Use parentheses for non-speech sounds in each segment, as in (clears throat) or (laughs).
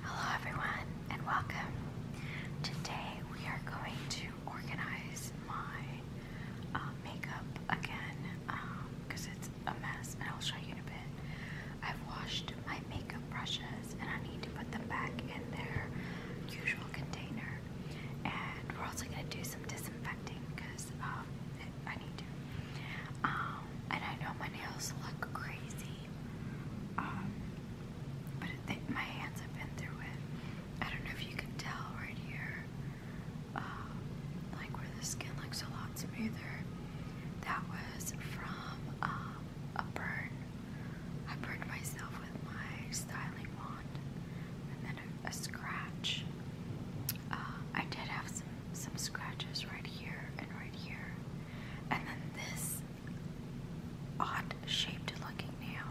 Hello everyone and welcome. Today we are going to organize my um, makeup again because um, it's a mess and I'll show you in a bit. I've washed my makeup brushes and I need to put them back in their usual container and we're also going to do some disinfecting because um, I need to. and I know my nails look crazy um, but my hands have been through it. I don't know if you can tell right here, um, like where the skin looks a lot smoother. That was from um, a burn. I burned myself with my styling wand, and then a, scratch. Uh, I did have some scratches right here and right here. And then this odd shaped looking nail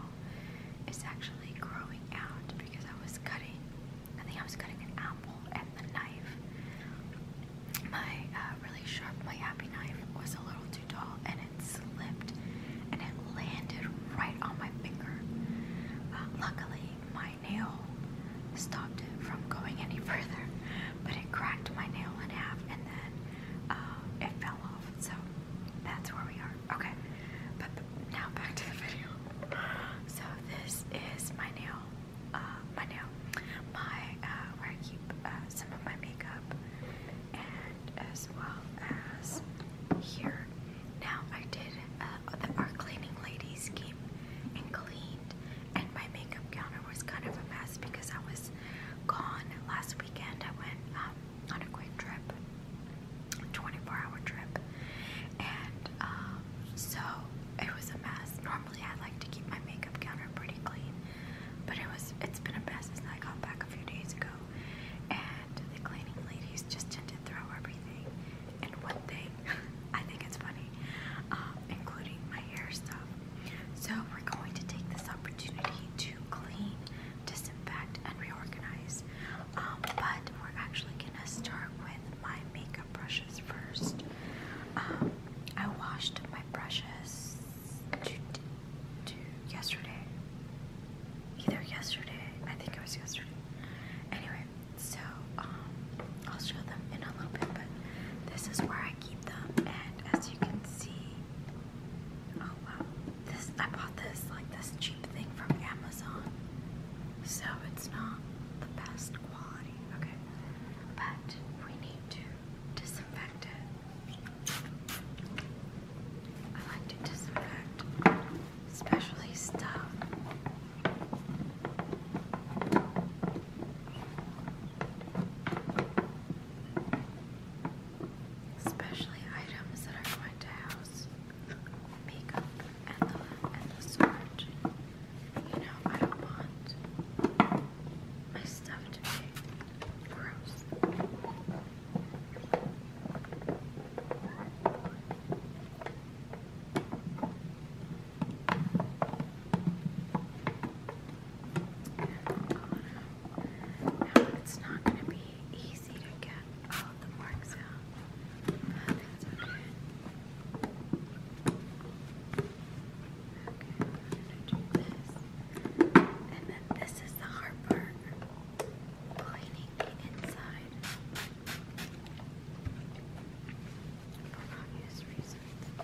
is actually growing out because I was cutting, I think I was cutting an apple and the knife, my uh, really sharp, my happy knife was a little too tall and it slipped and it landed right on my finger. Uh, luckily, my nail stopped it from going any (laughs) further but it cracked my nail in half and then uh, it fell off. So that's where we are. Okay, but now back to the video. So this is my nail, uh, my nail, my uh, where I keep some of my makeup, and as well as here. Now I did. Uh, the, our cleaning ladies came and cleaned, and my makeup counter was kind of a mess because I was gone last weekend. I went um, on a quick trip, 24-hour trip, and um, so it was a mess. Normally, I like to keep my makeup counter pretty clean, but it was—it's been a mess since I got back a few days ago, and the cleaning ladies just tend to throw everything in one thing (laughs) I think it's funny, um, including my hair stuff. So we're going to take this opportunity to clean, disinfect, and reorganize. Um, but we're actually gonna start with my makeup brushes first. Um, I washed my brushes yesterday. Either yesterday, I think it was yesterday. Anyway, so um, I'll show them in a little bit, but this is where I keep them. And as you can see, oh wow, this I bought this like this cheap thing from Amazon, so it's not the best quality. Okay, but we need to disinfect it. I like to disinfect, especially stuff Especially items that are going to house makeup and the, and the storage. You know, I don't want my stuff to be gross. Now it's not going to be easy to get all of the marks out, but that's okay. Okay, I'm going to do this. And then this is the hard part cleaning the inside. For obvious reasons.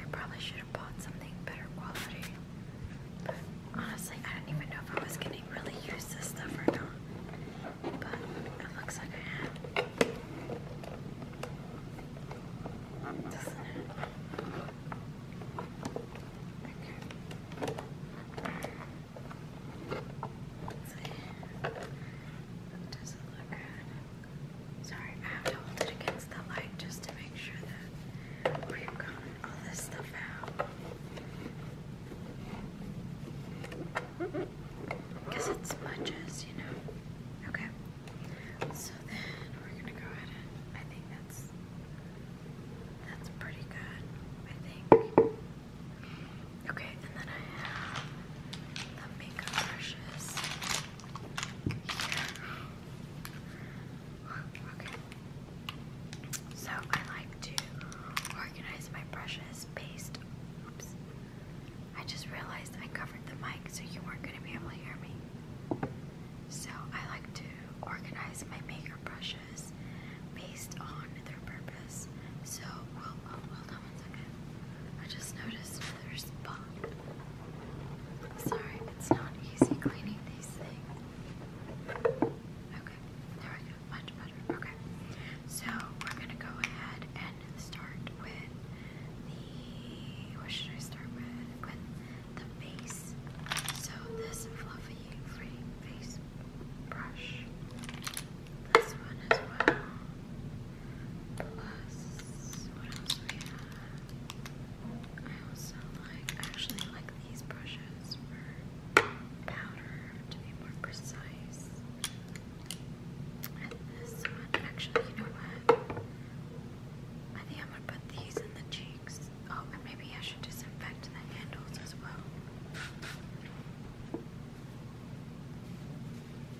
I probably should have bought something better quality. But honestly, I don't even know if I was gonna really use this stuff or not. But it looks like I am. Doesn't it? Okay. Let's see. doesn't look good. Sorry, I have to hold it against the light just to make sure that we've gotten all this stuff out. Because it smudges, you know. Okay. So then we're gonna go I think that's pretty good, Okay, and then I have the makeup brushes. So I like to organize my brushes based. Oops. I just realized I covered the mic, so you weren't going to be able to hear me. So I like to organize my makeup brushes based on their purpose. So, I just noticed another spot. Sorry, it's not easy cleaning these things. Okay, there we go. Much better. Okay, so we're gonna go ahead and start with the. What should I start with? With the base. So this fluffy free face brush. This one as well. Plus, what else we have? I also like, actually like these brushes powder to be more precise. And this one, actually, you know what? I think I'm gonna put these in the cheeks. Oh, and maybe I should disinfect the handles as well.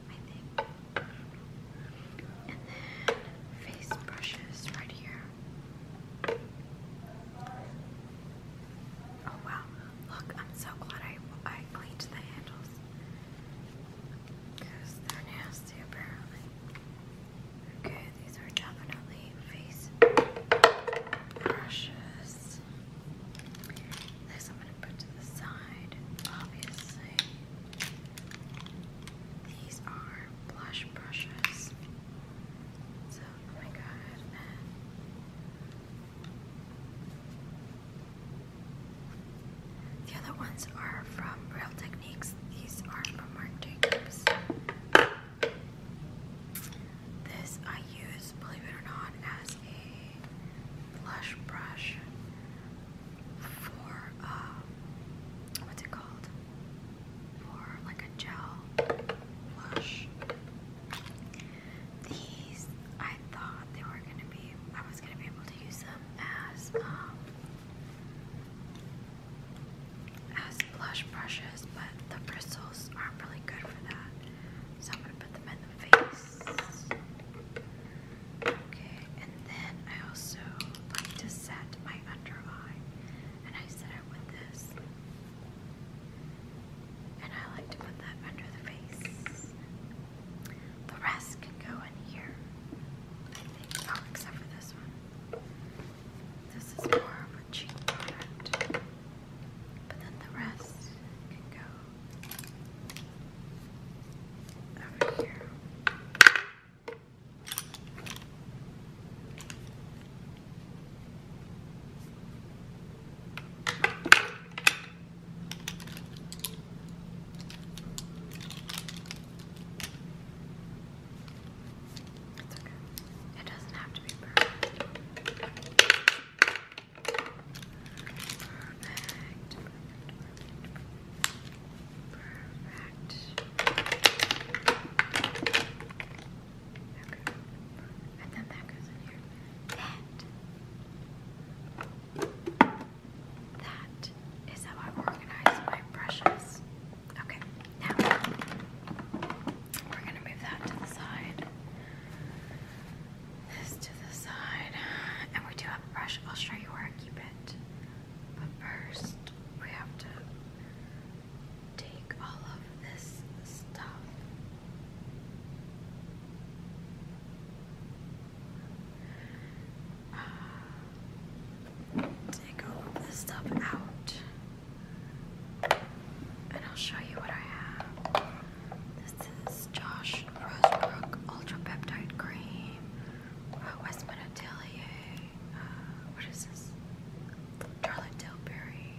I Oh wow, look, I'm so glad I, I cleaned the handles. Because they're nasty apparently. Okay, these are definitely face brushes. This I'm going to put to the side, obviously. These are blush brushes. So, oh my god. The other ones are from Real Techniques. These are from Marc This I use, believe it or not, as a blush brush for uh, what's it called? For like a gel blush. These I thought they were gonna be. I was gonna be able to use them as um, as blush brushes, but the bristles aren't really good for that. So I'm gonna put them in the face. Okay, and then I also like to set my under eye, and I set it with this. And I like to put that under the face. The rest can go in here, I think. Oh, except for this one. This is more of a cheap product. But then the rest can go over here. It's okay. It doesn't have to be perfect. Perfect. Perfect. perfect, perfect. Perfect. And then that goes in here. That. That is how I organize my brushes. Okay, now we're gonna move that to the side. This to the side. And we do have a brush. I'll show you where I keep it. But first, we have to take all of this stuff. Ah, take all of this stuff out. And I'll show you what I have. This is Josh Rosebrook Ultra Peptide Cream uh, West what is this? Charlotte Tilbury,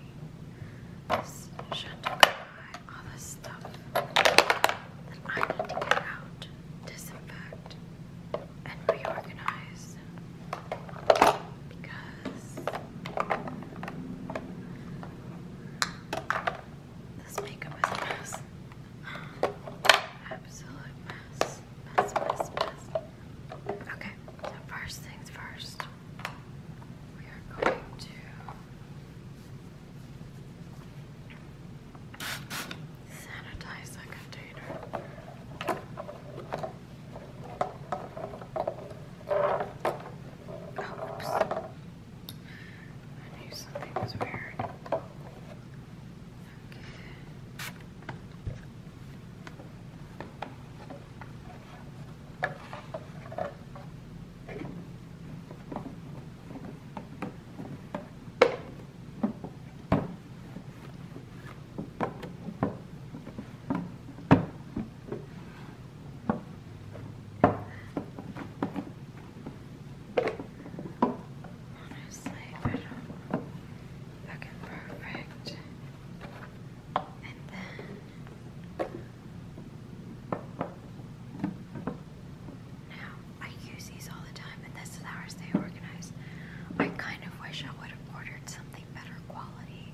this all this stuff that I need to get out, disinfect, and reorganize because this makeup is a mess. Okay, first things first, we are going to sanitize the container. Oops. I knew something was weird. Honestly, I don't fucking perfect. And then now I use these all the time, and this is how I stay organized. I kind of wish I would have ordered something better quality,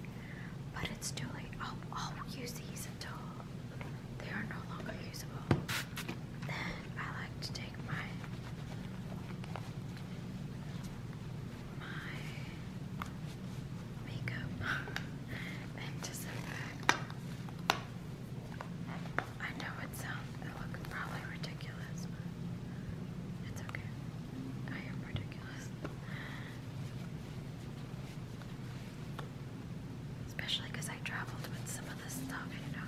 but it's too late. I'll, I'll use these until they are no longer usable. Then I like to take my my makeup (laughs) and disinfect. I know it sounds probably ridiculous, but it's okay. I am ridiculous. Especially because I traveled with some of this stuff, you know.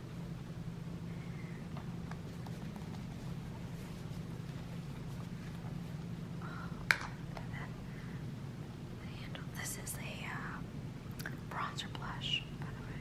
Oh, the This is a uh, bronzer blush, by the way.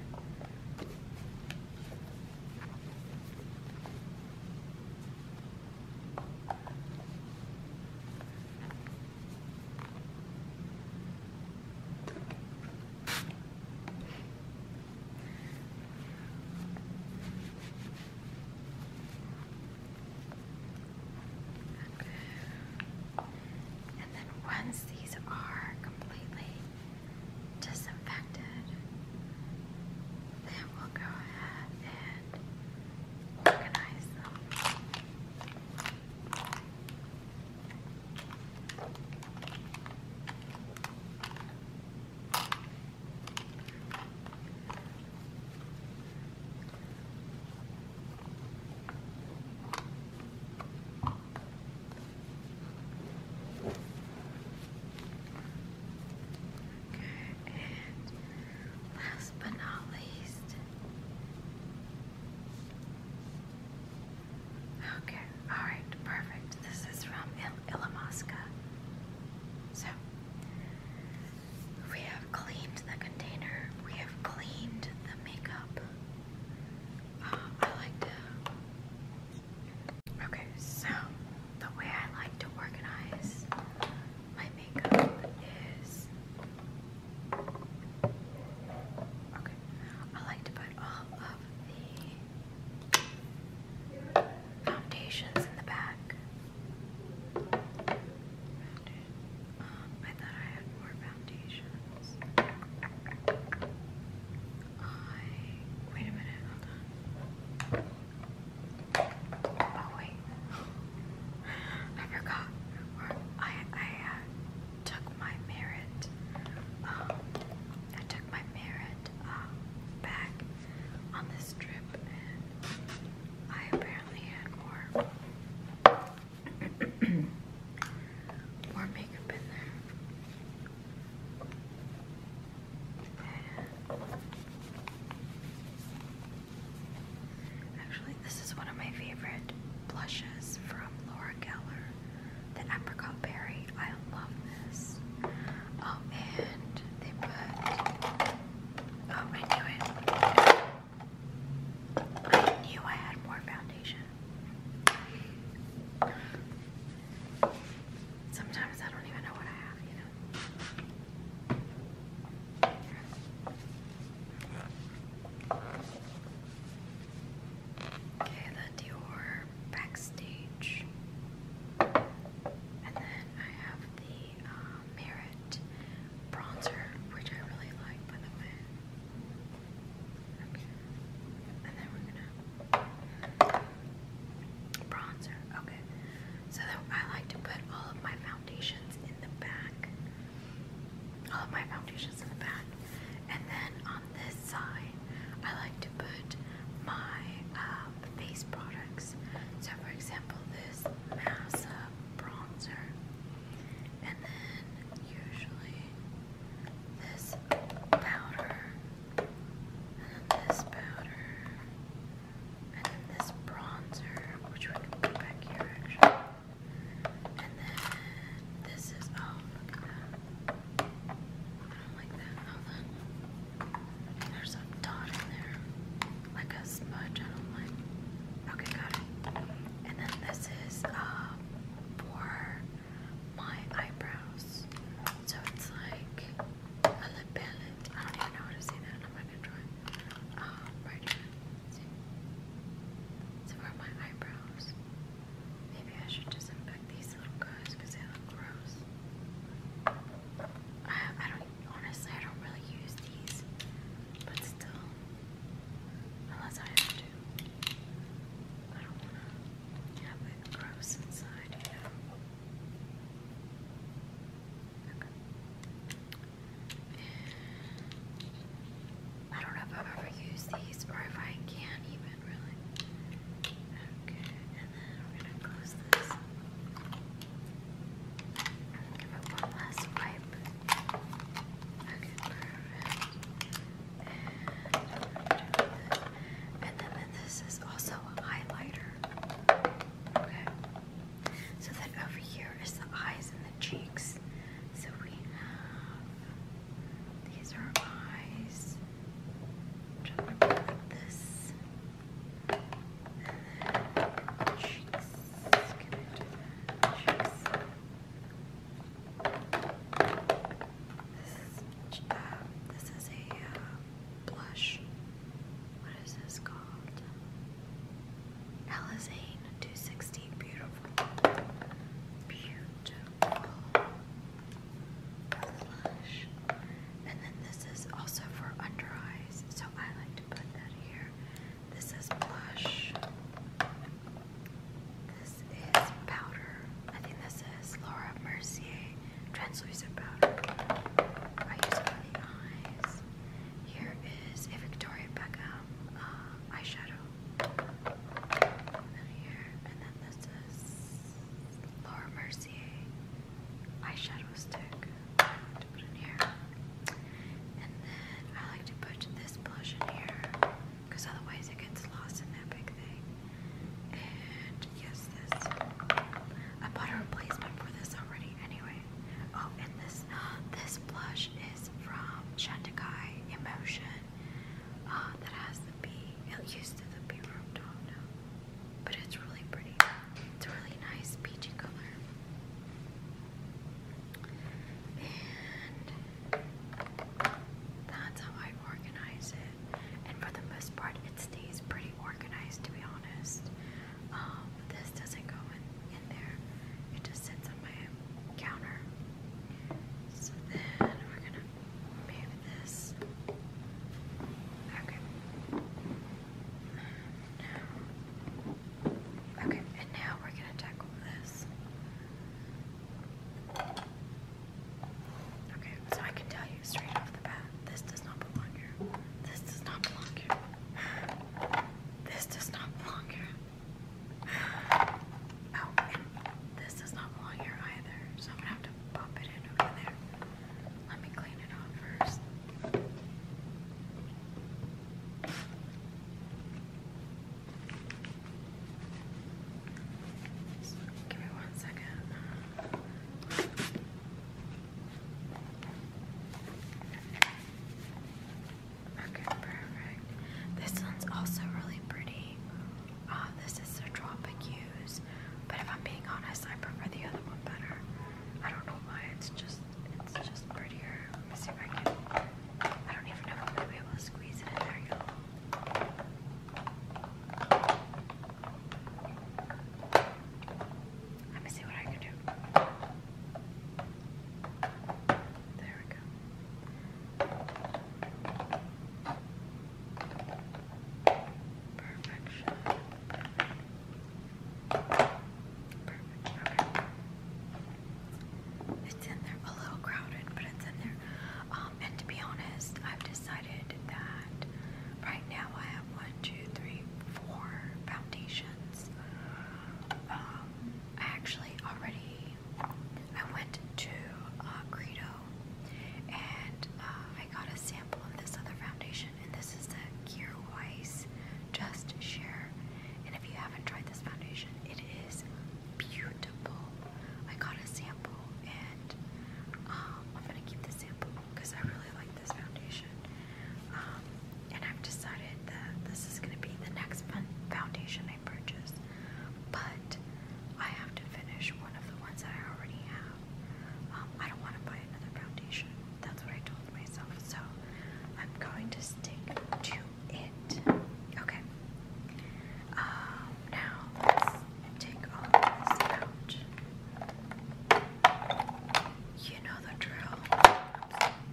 And then once these are completely disinfected, then we'll go ahead and organize them. And last but not least, Okay, alright, perfect. This is from Il So, we have cleaned the container, we have cleaned the makeup. Uh, I like to. Okay, so the way I like to organize my makeup is. Okay, I like to put all of the Foundations in the back. Um, I thought I had more foundations. I wait a minute, Oh wait, I forgot. I I uh, took my merit. Um, I took my merit um, back on this trip I apparently had more (clears throat) more makeup in there. actually, this is one of my favorite blushes from Laura Geller. The apricot berry. I love this. Oh, and Oh, I knew it. I knew I had more foundation. Sometimes I don't even know what I have, you know. Okay, the Dior backstage. And then I have the uh, Merit bronzer, which I really like, by the way. Okay. And then we're gonna bronzer. Okay. So I like to put all of my foundations in the back. All of my foundations in the back. And then on this side, I like to put my um, face products. So, for example, this NASA bronzer, and then usually this powder, and then this powder, and then this bronzer, which I can put back here actually. And then this is, oh, Okay, got it. And then this is uh, for my eyebrows. So it's like a lip palette. I don't even know how to say that, I'm not gonna try. Um, for my eyebrows. Maybe I should disinfect these little guys because they look gross. I, don't, honestly, I don't really use these, but still, unless I have to. I don't want to have it gross inside, you I don't know if I've ever used these or if I can even really. and then this. is also a highlighter. Okay. So then over here is the eyes and the cheeks. So we these are eyes. this. This is a uh, blush. What is this called? Alizane 260. Beautiful. Beautiful blush. And then this is also for under eyes, so I like to put that here. This is blush. This is powder. I think this is Laura Mercier translucent powder. I use for the eyes. Here is a Victoria Beckham uh, eyeshadow. And then Laura Mercier eyeshadow stick. I like to put this blush in here because otherwise it gets lost in that big thing. And yes, this. I bought a replacement for this already anyway. Oh, and this this blush is from Shantikai Emotion. Ah, that has the bee. It used to the bee room, do But it's really pretty. It's really nice peachy color. And that's how I organize it. And for the most part, it stays pretty organized, to be honest. Um, this doesn't go in, in there. It just sits on my counter. So then we're gonna move this. Okay. and now we're gonna tackle this. Okay, so I can tell you straight off the bat, this does not belong here. This does not belong here. This does not belong here. (sighs) Oh, this does not belong here either, so I'm gonna have to pop it in over there. Let me clean it off first. give me one second. This one's also really pretty. Uh, this is a Tropic Hues, but if I'm being honest, I prefer the other one better. I don't know why. It's just it's just prettier. Let me see if I can. I don't even know if I'm gonna be able to squeeze it in there, Let me see what I can do. There we Perfection. Perfect. Perfect. It's in there. A little crowded, but it's in there. Um, and to be honest, I've decided that right now I have one, two, three, four foundations. Um, I actually already I went to Credo uh, and uh, I got a sample of this other foundation, and this is the Gear Just Share. And if you haven't tried this foundation, it is beautiful. I got a sample, and um, I'm gonna keep the sample because I really like this foundation. Um, and I've decided that this is gonna be the next foundation I purchase but I have to finish one of the ones I already have. Um, I don't want to buy another foundation. That's what I told myself. So I'm going to stick to it. Okay. Um, now take all this out. You know the drill.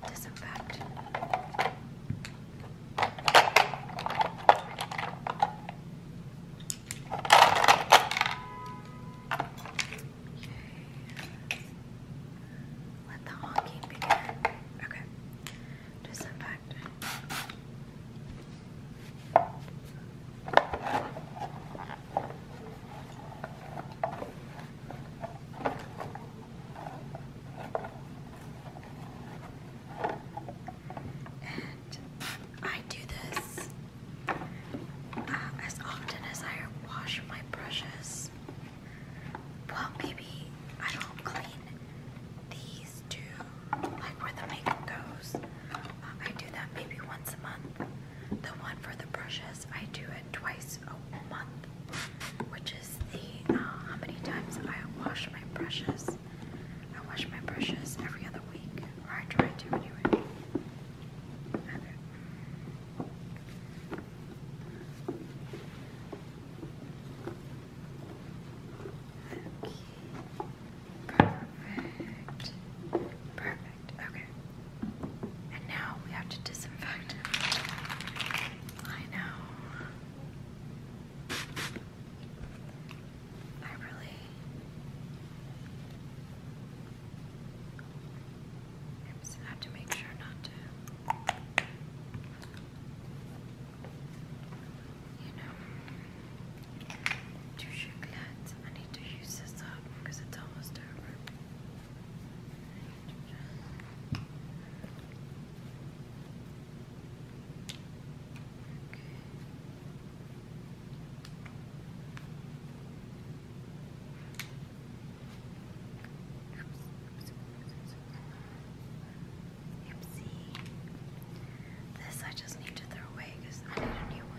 Disinfect. Let the honking begin. Okay. Disinfect. Okay. And I do this uh, as often as I wash my brushes. Well, maybe I don't clean these two, like where the makeup goes. Uh, I do that maybe once a month. The one for the brushes, I do it twice a month, which uh, how many times I wash my brushes. I wash my brushes every other week, or I try to anyway. Okay. Perfect. Perfect. Okay. And now we have to disinfect. I know. I really just have to make sure not to you know two I need to use this up because it's almost over. This I just need to throw away because I need a new one.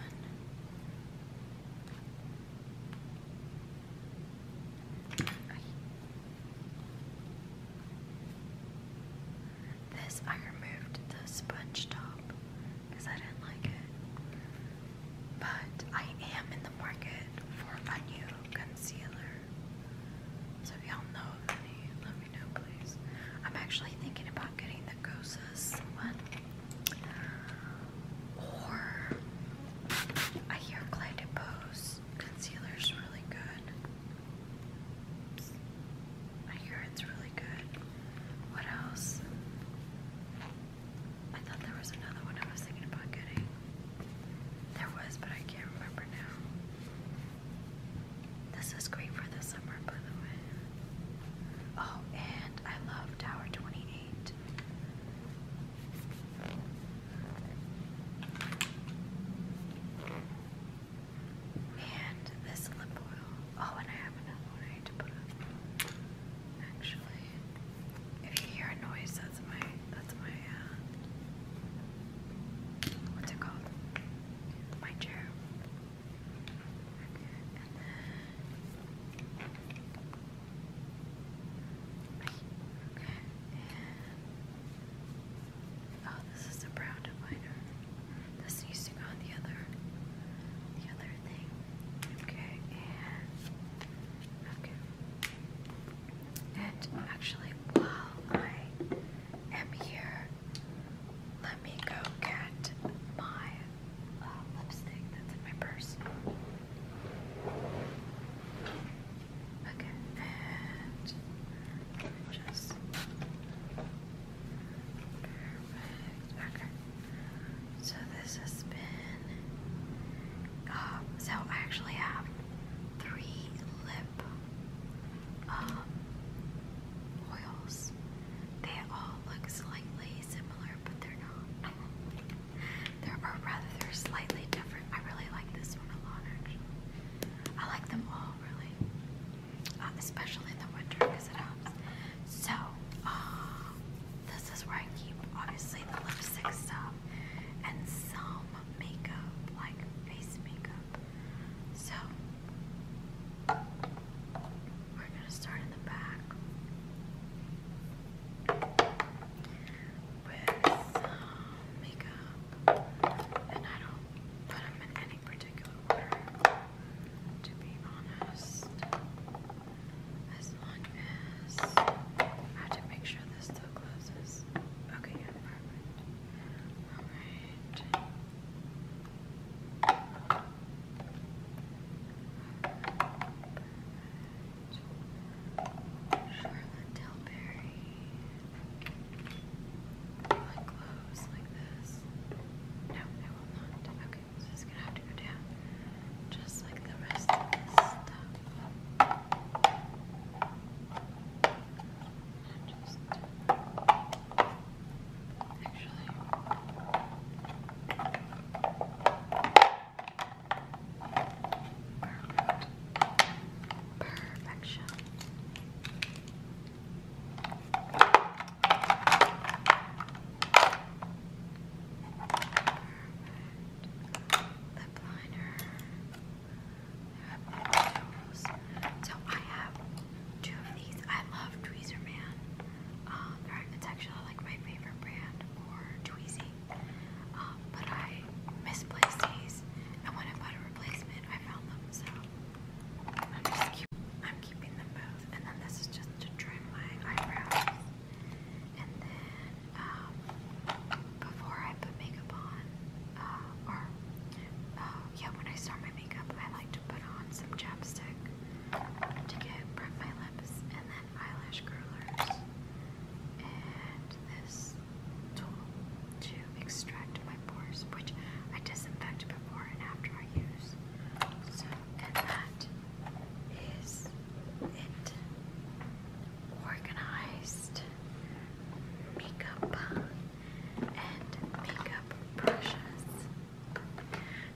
This, I removed the sponge top because I didn't like it. But I am in the market for a new concealer. So y'all know let me know please. I'm actually thinking about getting the Gosa's one. Or I hear Clay DePose Concealer is really good. I hear it's really good. What else? I thought there was another one I was thinking about getting. There was, but I can't remember now. This is great for the summer, by the way. Oh, and I love Tower 28. And this lip oil. Oh, and I have another one to put up. Actually, if you hear a noise, that's my that's my uh, what's it called? My chair. Okay, Oh, this is a brown divider. This needs to go on the other, the other thing. Okay, okay. And actually, while I am here, let me go get my uh, lipstick that's in my purse. Okay, just Okay, so this has been. Um, so I actually have three lip um, oils. They all look slightly similar, but they're not. They're, rather, they're slightly different. I really like this one a lot, actually. I like them all, really. Uh, especially in the winter, because it helps. So, uh, this is where I keep, obviously, the lipstick stuff and some makeup, like face makeup. So, we're going to start in the back with um, makeup, and I don't put them in any particular order, to be honest. As long as I have to make sure this still closes. Okay, yeah, perfect. Alright. Charlotte Tilbury. Will it close like this? No, it will not. Okay, so it's gonna have to go down. Just like the rest of this stuff. Just actually. Perfection. Lip liner. So I have two of these. I love Tweezer Man. Um, actually like my favorite brand for Tweezy. Um, but I misplaced these, and when I bought a replacement, I found them. So I'm just keeping them both. And then this is just to trim my eyebrows. And then um, before I put makeup on, uh, or uh, yeah, when I start my makeup, I like to put on some chapstick to get prep my lips, and then eyelash curlers, and this tool to extract my pores, which I disinfect before and after I use. So, and that is it. Organized makeup and makeup brushes.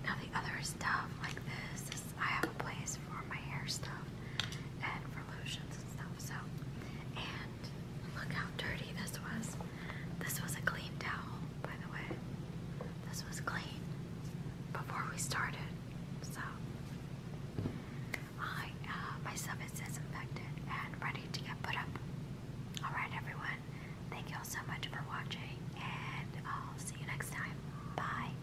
Now, the other stuff like this is I have a place for my hair stuff and lotions and stuff, so. And look how dirty this was. This was a clean towel, by the way. This was clean before we started, so. I, uh, my stuff is disinfected and ready to get put up. Alright, everyone. Thank you all so much for watching, and I'll see you next time. Bye.